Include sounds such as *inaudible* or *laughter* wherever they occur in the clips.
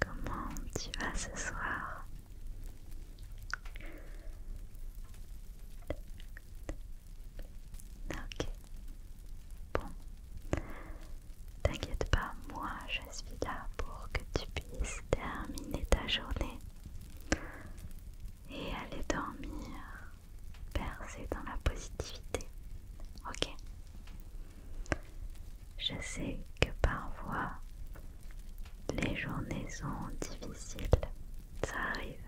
Comment tu vas ce soir Ok. Bon. T'inquiète pas, moi je suis là pour que tu puisses terminer ta journée et aller dormir, percée dans la positivité. Ok Je sais que parfois les journées sont difficiles. Ça arrive.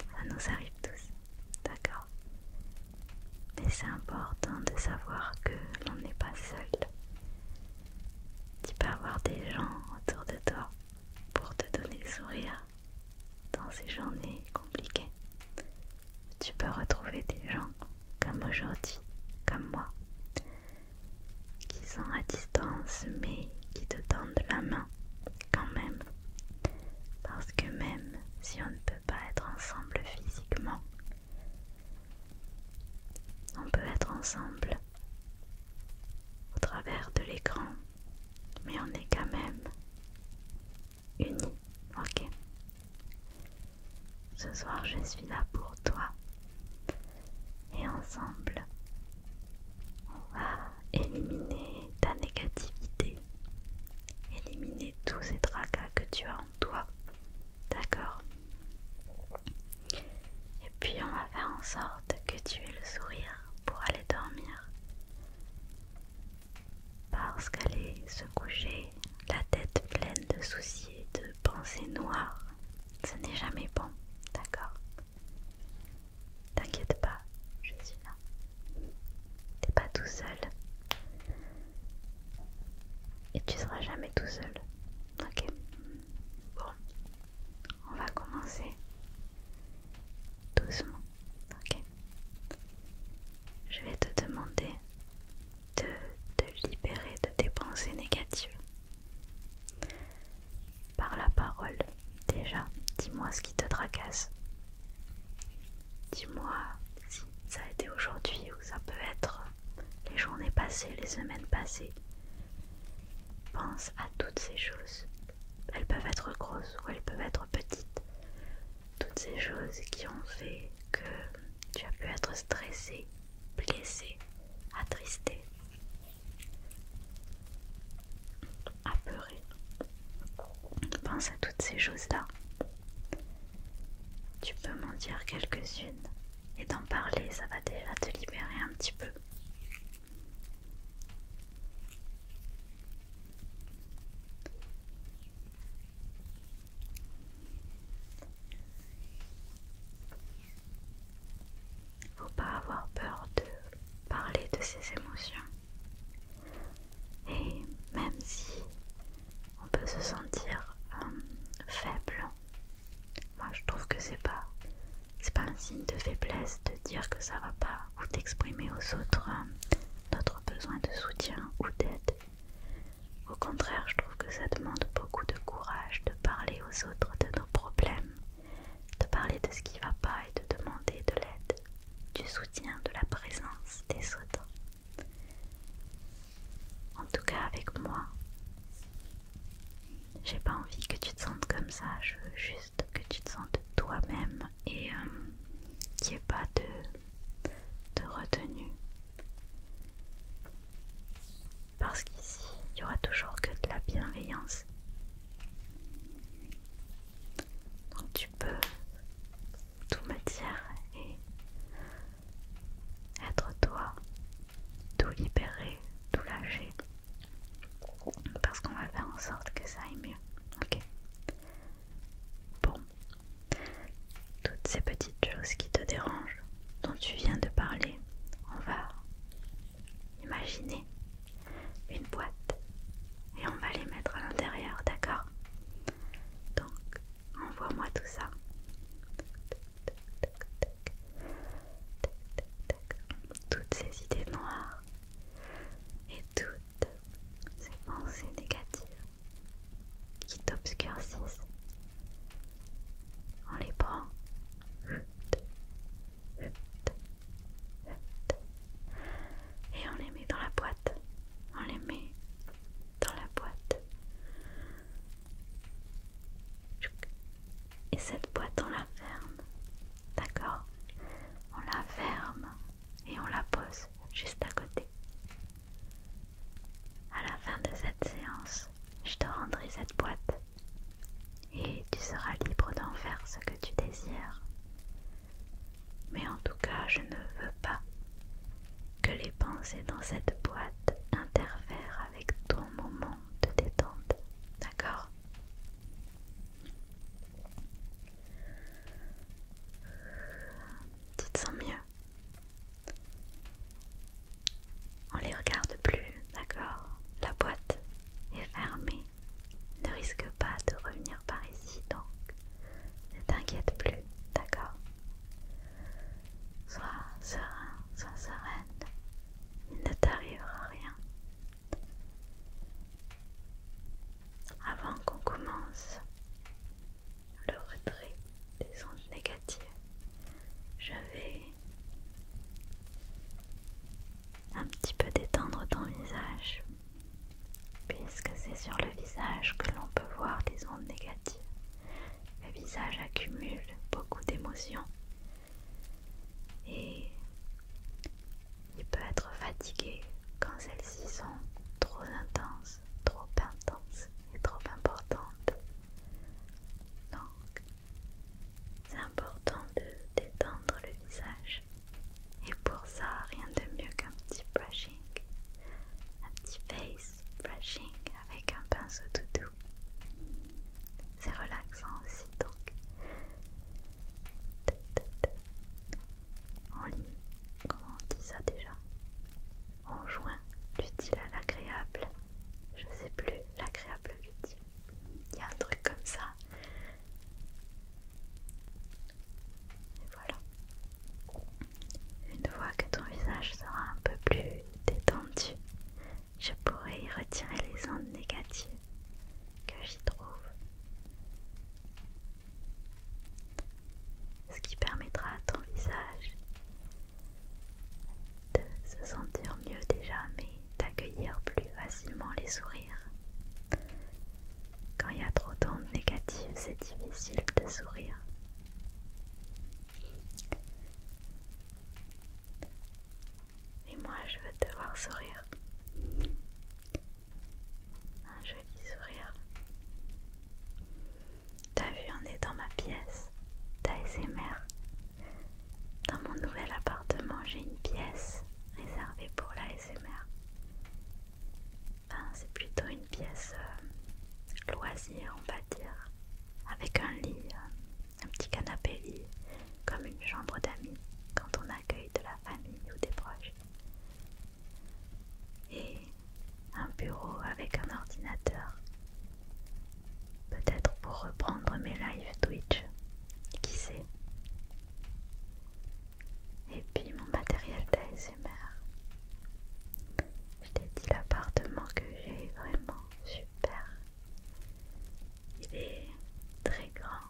Ça nous arrive tous. D'accord Mais c'est important de savoir que l'on n'est pas seul. Tu peux avoir des gens autour de toi pour te donner sourire dans ces journées compliquées. Tu peux retrouver des gens comme aujourd'hui, comme moi, qui sont à distance mais qui te tendent la main quand même. Parce que même si on ne peut pas être ensemble physiquement, on peut être ensemble au travers de l'écran, mais on est quand même unis, ok Ce soir, je suis là pour toi et ensemble, on va éliminer ta négativité, éliminer tous ces tracas que tu as en toi, d'accord et puis on va faire en sorte que tu aies le sourire pour aller dormir. Parce qu'aller se coucher, la tête pleine de soucis et de pensées noires, ce n'est jamais bon, d'accord T'inquiète pas, je suis là. T'es pas tout seul. Et tu seras jamais tout seul. Ok. Bon. On va commencer doucement. Ok. Je vais te demander de te libérer de tes pensées négatives. Par la parole, déjà, dis-moi ce qui te tracasse. Dis-moi si ça a été aujourd'hui ou ça peut être les journées passées, les semaines passées. Pense à toutes ces choses. Elles peuvent être grosses ou elles peuvent être petites. Toutes ces choses qui ont fait que tu as pu être stressé, blessé, attristé, apeuré. Pense à toutes ces choses-là. Tu peux m'en dire quelques-unes et d'en parler, ça va déjà te libérer un petit peu. Faut pas avoir peur de parler de ses émotions. Et même si on peut se sentir euh, faible moi je trouve que c'est pas c'est pas un signe de faiblesse de dire que ça va pas ou d'exprimer aux autres notre euh, besoin de soutien ou d'aide. Au contraire, je trouve que ça demande beaucoup de courage de parler aux autres de nos problèmes, de parler de ce qui va pas et de demander de l'aide, du soutien, de la présence des autres. En tout cas avec moi. J'ai pas envie que tu te sentes comme ça, je veux juste que tu te sentes toi-même et euh, qu'il n'y ait pas de, retenue. Parce qu'ici, il y aura toujours que de la bienveillance. Donc tu peux tout me et être toi, tout libérer, tout lâcher, parce qu'on va faire en sorte que ça aille mieux. Ok. Bon, toutes ces petites choses qui te dérangent, dont tu viens de parler, on va imaginer une boîte et on va les mettre à l'intérieur, d'accord Donc, envoie-moi tout ça toutes ces idées noires et toutes ces pensées négatives qui t'obscurcissent. On les prend. Et on les met dans la boîte. On les met dans la boîte. Et cette boîte, on la ferme. D'accord On la ferme et on la pose juste à côté. À la fin de cette séance, je te rendrai cette boîte et tu seras libre d'en faire ce que tu désires. Mais en tout cas, je ne veux pas que les pensées dans cette boîte interfèrent avec ton moment de détente, d'accord Tout te sens mieux On les regarde plus, d'accord La boîte est fermée, ne risque pas de revenir par ici donc ne t'inquiète plus, d'accord Sois serein, sois sereine, il ne t'arrivera rien. Avant qu'on commence le retrait des ondes négatives, je vais un petit peu détendre ton visage, puisque c'est sur le visage que l'on peut voir des ondes négatives le visage accumule beaucoup d'émotions et il peut être fatigué quand celles-ci sont trop intenses, trop intenses et trop importantes. Donc, c'est important de détendre le visage. Et pour ça, rien de mieux qu'un petit brushing, un petit face brushing avec un pinceau tout doux. C'est relaxant aussi donc. on lit, comment on dit ça déjà En joint l'utile à l'agréable. Je sais plus, l'agréable l'utile. Il y a un truc comme ça. Et voilà. Une fois que ton visage sera un peu plus détendu, je pourrais y retirer les ondes négatives que j'y trouve. Ce qui permettra à ton visage de se sentir mieux déjà, mais d'accueillir plus facilement les sourires. Quand il y a trop d'ondes négatives, c'est difficile de sourire. Et moi, je veux te voir sourire. Un joli sourire. T'as vu, on est dans ma pièce d'ASMR. Dans mon nouvel appartement, j'ai une pièce réservée pour l'ASMR. Enfin, c'est plutôt une pièce euh, loisir, on va dire avec un lit, euh, un petit canapé lit, comme une chambre d'amis quand on accueille de la famille ou des proches. Et un bureau avec un ordinateur. Peut-être pour reprendre mes lives Twitch, qui sait. Et puis mon matériel d'ASMR. Je t'ai dit l'appartement que j'ai vraiment super. Il est très grand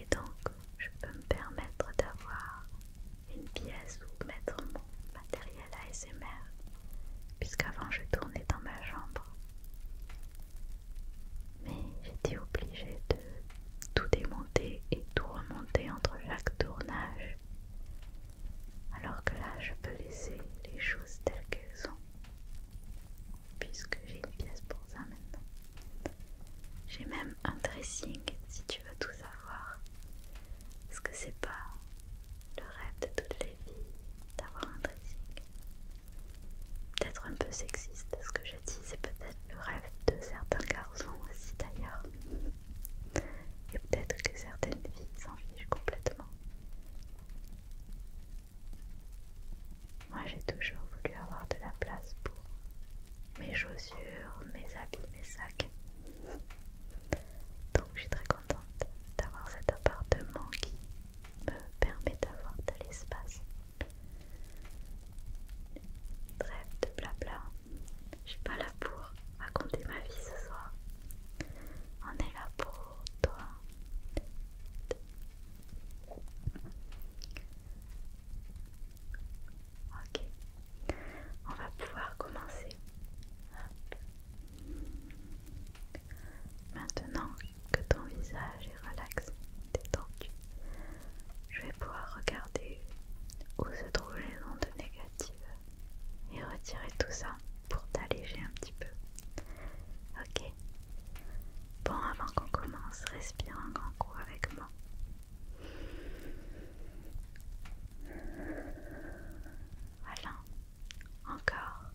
et donc je peux me permettre d'avoir une pièce où mettre mon matériel ASMR puisqu'avant je tournais dans ma chambre. Mais j'étais obligée de tout démonter et tout remonter entre chaque tournage. Alors que là, je peux laisser les choses telles qu'elles sont, puisque j'ai une pièce pour ça maintenant. J'ai même un dressing, si tu veux tout savoir. Est-ce que c'est pas le rêve de toutes les filles d'avoir un dressing Peut-être un peu sexiste, ce que je dis, c'est peut-être le rêve de certains garçons aussi d'ailleurs. Et peut-être que certaines filles s'en fichent complètement. Moi j'ai toujours voulu avoir de la place pour mes chaussures, mes habits, mes sacs. Donc je suis très contente d'avoir cet appartement qui me permet d'avoir de l'espace. Bref, de blabla, je suis pas là pour raconter ma vie ce soir. On est là pour toi. Ok, on va pouvoir commencer. Maintenant que ton visage est relaxé, détendu, je vais pouvoir regarder où se trouvent les ondes négatives et retirer tout ça pour t'alléger un petit peu. Ok Bon, avant qu'on commence, respire un grand coup avec moi. Voilà, encore.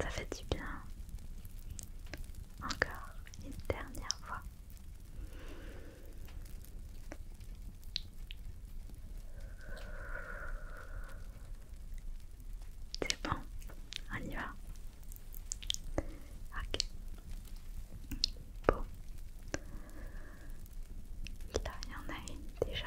Ça fait du bien. Encore une dernière fois. C'est bon, on y va. Ok. Bon. Là, il y en a une déjà.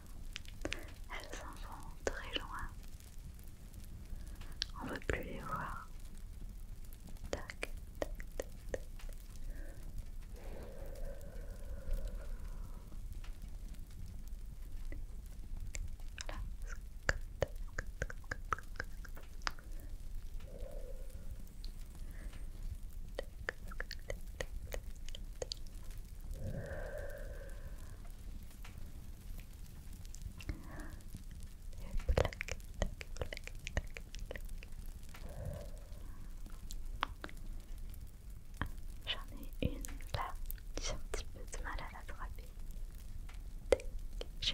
Elles s'en vont très loin. On ne veut plus les voir. J'en ai une là, j'ai un petit peu de mal à la Je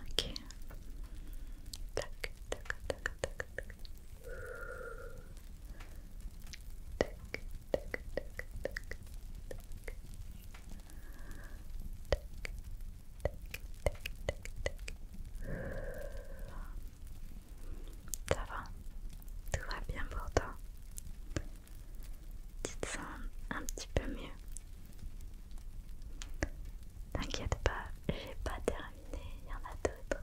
Ok. Tac, tac, tac, tac, tac. Tac, tac, tac, tac, tac. Tac, tac, tac, Ça va Tout va bien pour toi tu te sens un petit peu mieux. T'inquiète pas, j'ai pas terminé, il y en a d'autres.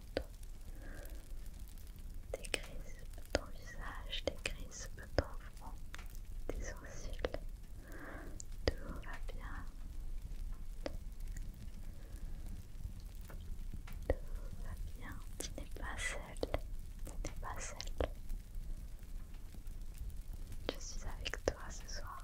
gris, dans ton visage, dans ton front, des sourcils. Tout va bien. Tout va bien. Tu n'es pas seule. Tu n'es pas seule. Je suis avec toi ce soir.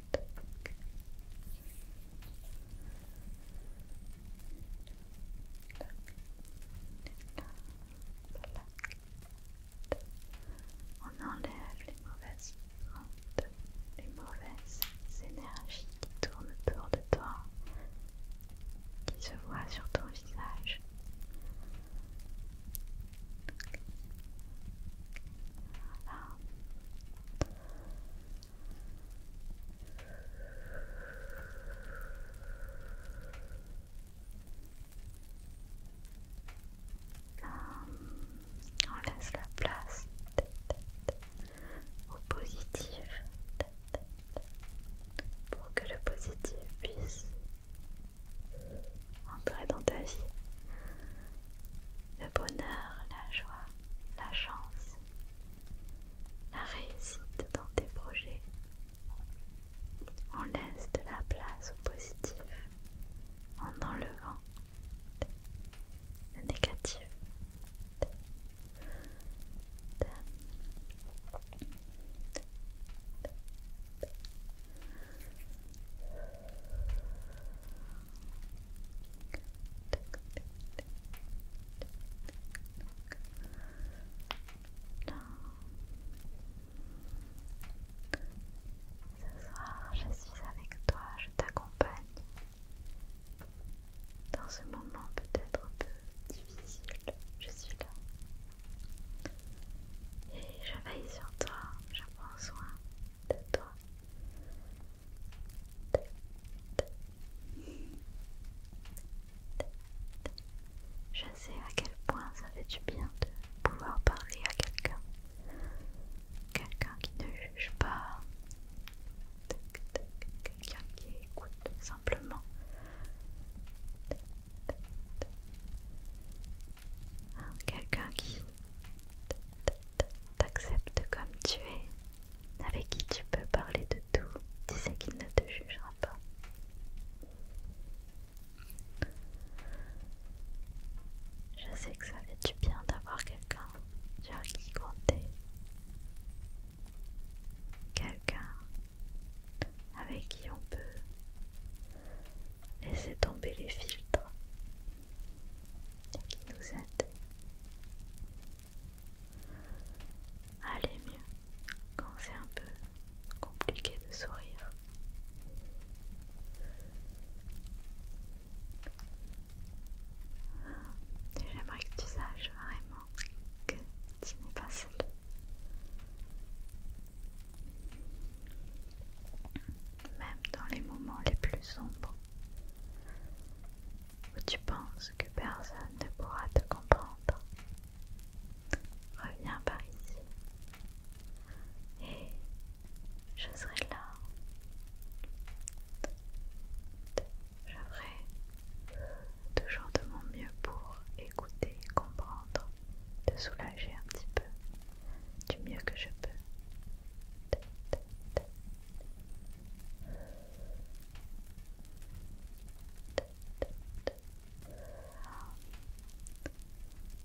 On enlève les mauvaises les mauvaises énergies qui tournent autour de toi, qui se voient sur ton visage. Euh, on laisse la place au positif pour que le positif puisse entrer dans ta vie le bonheur, la joie, la chance, la réussite dans tes projets. On laisse de la place au positif en enlevant le négatif. Ce soir, je suis avec toi, je t'accompagne dans ce moment peut-être un peu difficile. Je suis là. Et je veille sur toi, je prends soin de toi. Je sais à quel point ça fait du bien de pouvoir parler à quelqu'un. Quelqu'un qui ne juge pas. Quelqu'un qui écoute simplement. Quelqu'un qui t'accepte comme tu es avec qui tu peux parler de tout, tu sais qu'il ne te jugera pas. Je sais que ça fait du bien d'avoir quelqu'un sur qui compter. Quelqu'un avec qui on peut laisser tomber les filtres et qui nous aide aller mieux quand c'est un peu compliqué de sourire. J'aimerais que tu saches vraiment que tu n'es pas seule. Même dans les moments les plus sombres, où tu penses que personne ne pourra te comprendre. Reviens par ici et je serai là. Je ferai toujours de mon mieux pour écouter, comprendre, te soulager un petit peu du mieux que je peux.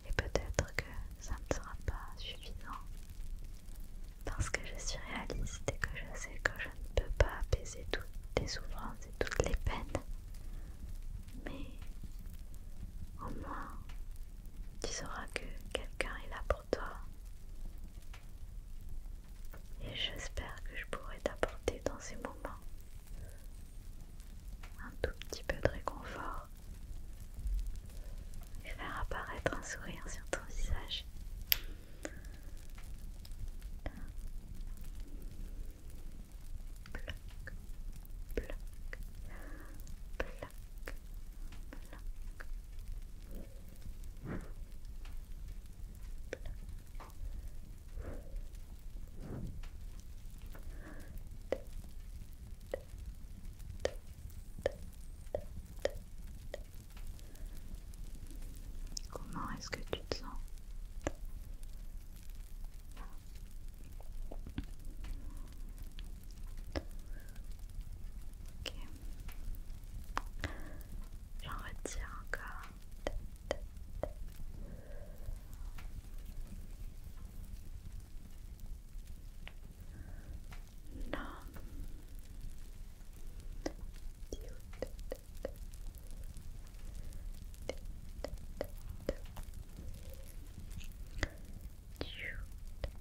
Et peut-être que ça ne sera pas suffisant parce que je suis réaliste et que je sais que je ne peux pas apaiser toutes les souffrances et toutes les peines. Mais au moins, tu sauras que quelqu'un est là pour toi. Et j'espère que je pourrai t'apporter dans ces moments un tout petit peu de réconfort et faire apparaître un sourire sur ton visage. Comment est-ce que tu te sens Ok. J'en retire encore. Non.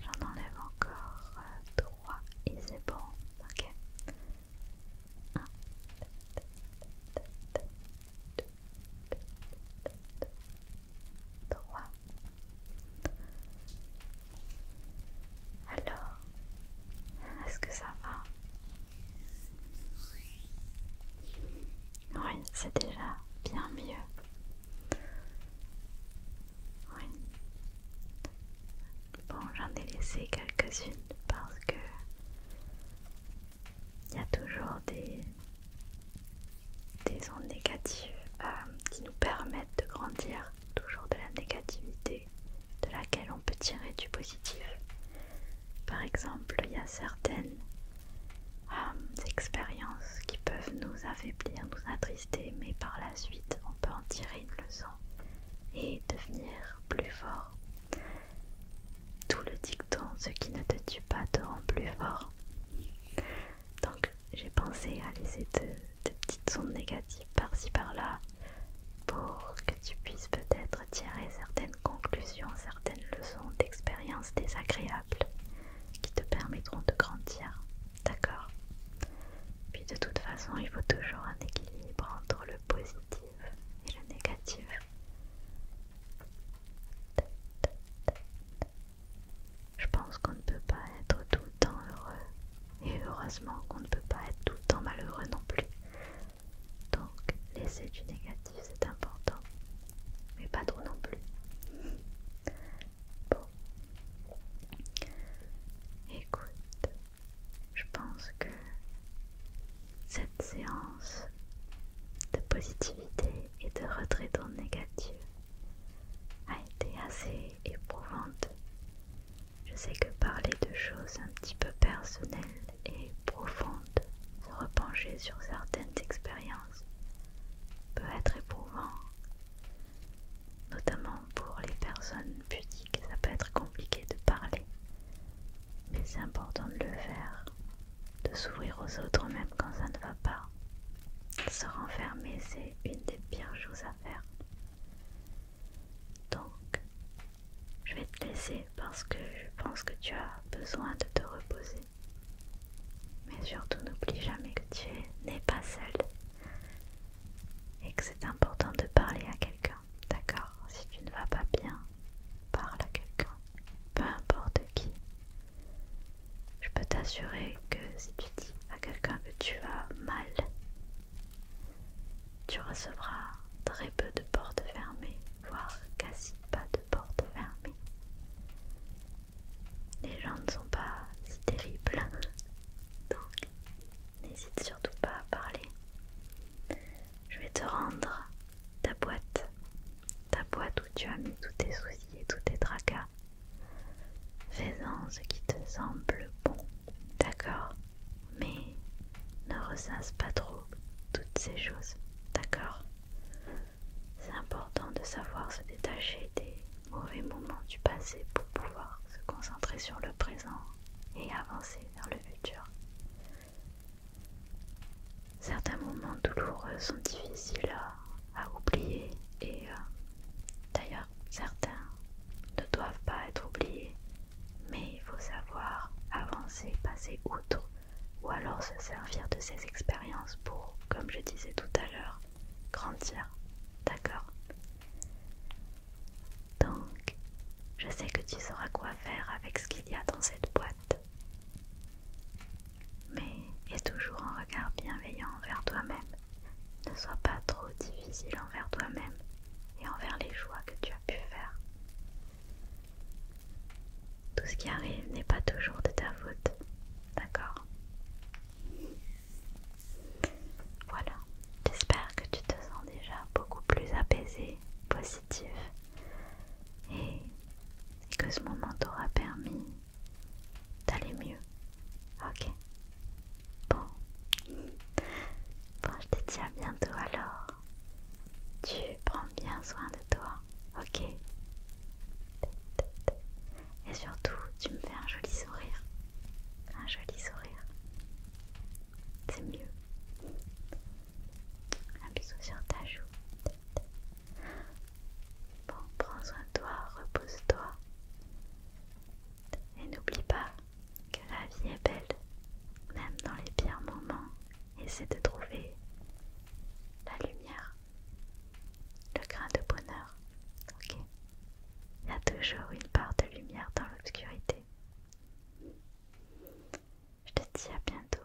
J'en enlève encore trois et c'est bon, ok. Alors, est-ce que ça va Oui, c'est déjà bien mieux. Oui. Bon, j'en ai laissé quelques-unes parce que il y a toujours des, ondes négatives euh, qui nous permettent de grandir, toujours de la négativité de laquelle on peut tirer du positif. Par exemple, il y a certaines euh, expériences qui peuvent nous affaiblir, nous attrister, mais par la suite on peut en tirer une leçon et devenir plus fort tout le dicton, ce qui ne te tue pas te rend plus fort. Donc j'ai pensé à laisser des petites ondes négatives par-ci par-là pour que tu puisses peut-être tirer certaines conclusions, certaines leçons d'expériences désagréables qui te permettront de grandir. D'accord Puis de toute façon, il faut toujours un équilibre entre le positif et le négatif. Je pense qu'on ne peut pas être tout le temps heureux et heureusement qu'on ne peut pas être tout le temps malheureux non plus. Donc laisser du négatif c'est important, mais pas trop non plus. Bon, écoute, je pense que cette séance de positivité et de retrait dans négatif a été assez éprouvante. Je sais que parler de choses un petit peu personnelles et profondes, se repencher sur certaines expériences, peut être éprouvant, notamment pour les personnes pudiques, ça peut être compliqué de parler mais c'est important de le faire, de s'ouvrir aux autres même quand ça ne va pas. Se renfermer, c'est une des pires choses à faire. Donc, je vais te laisser parce que je pense que tu as besoin de te reposer. Mais surtout, n'oublie jamais que tu n'es pas seul et que c'est important de parler à quelqu'un, d'accord Si tu ne vas pas bien, parle à quelqu'un peu importe qui, je peux t'assurer que si tu dis à quelqu'un que tu as mal, tu recevras très peu de portes fermées, voire quasi pas de portes fermées. Les gens ne sont pas si terribles, *laughs* donc n'hésite surtout pas à parler. Je vais te rendre ta boîte, ta boîte où tu as mis tous tes soucis et tous tes tracas. Fais-en ce qui te semble bon, d'accord Mais ne ressasse pas trop toutes ces choses, d'accord C'est important de savoir se détacher des mauvais moments du passé pour pouvoir se concentrer sur le présent et avancer vers le futur. Certains moments douloureux sont difficiles à, oublier et euh, d'ailleurs certains ne doivent pas être oubliés, mais il faut savoir avancer, passer outre ou alors se servir de ces expériences pour, comme je disais tout à l'heure, grandir. D'accord Donc, je sais que tu sauras quoi faire avec ce qu'il y a dans cette boîte. Mais aie toujours un regard bienveillant envers toi-même. Ne sois pas trop difficile envers toi-même et envers les choix que tu as pu faire. Tout ce qui arrive n'est pas toujours de ta faute, d'accord Voilà, j'espère que tu te sens déjà beaucoup plus apaisé, positif et, que ce moment t'aura permis d'aller mieux. Ok Bon. Bon, je te dis à bientôt alors. Tu prends bien soin de toi, ok Et surtout, tu me fais un joli sourire. Un joli sourire. C'est mieux. Un bisou sur ta joue. Bon, prends soin de toi, repose-toi. Et n'oublie pas que la vie est belle, même dans les pires moments. Essaie de trouver la lumière, le grain de bonheur. Ok Il y a toujours une part de lumière dans l'obscurité. Je te dis à bientôt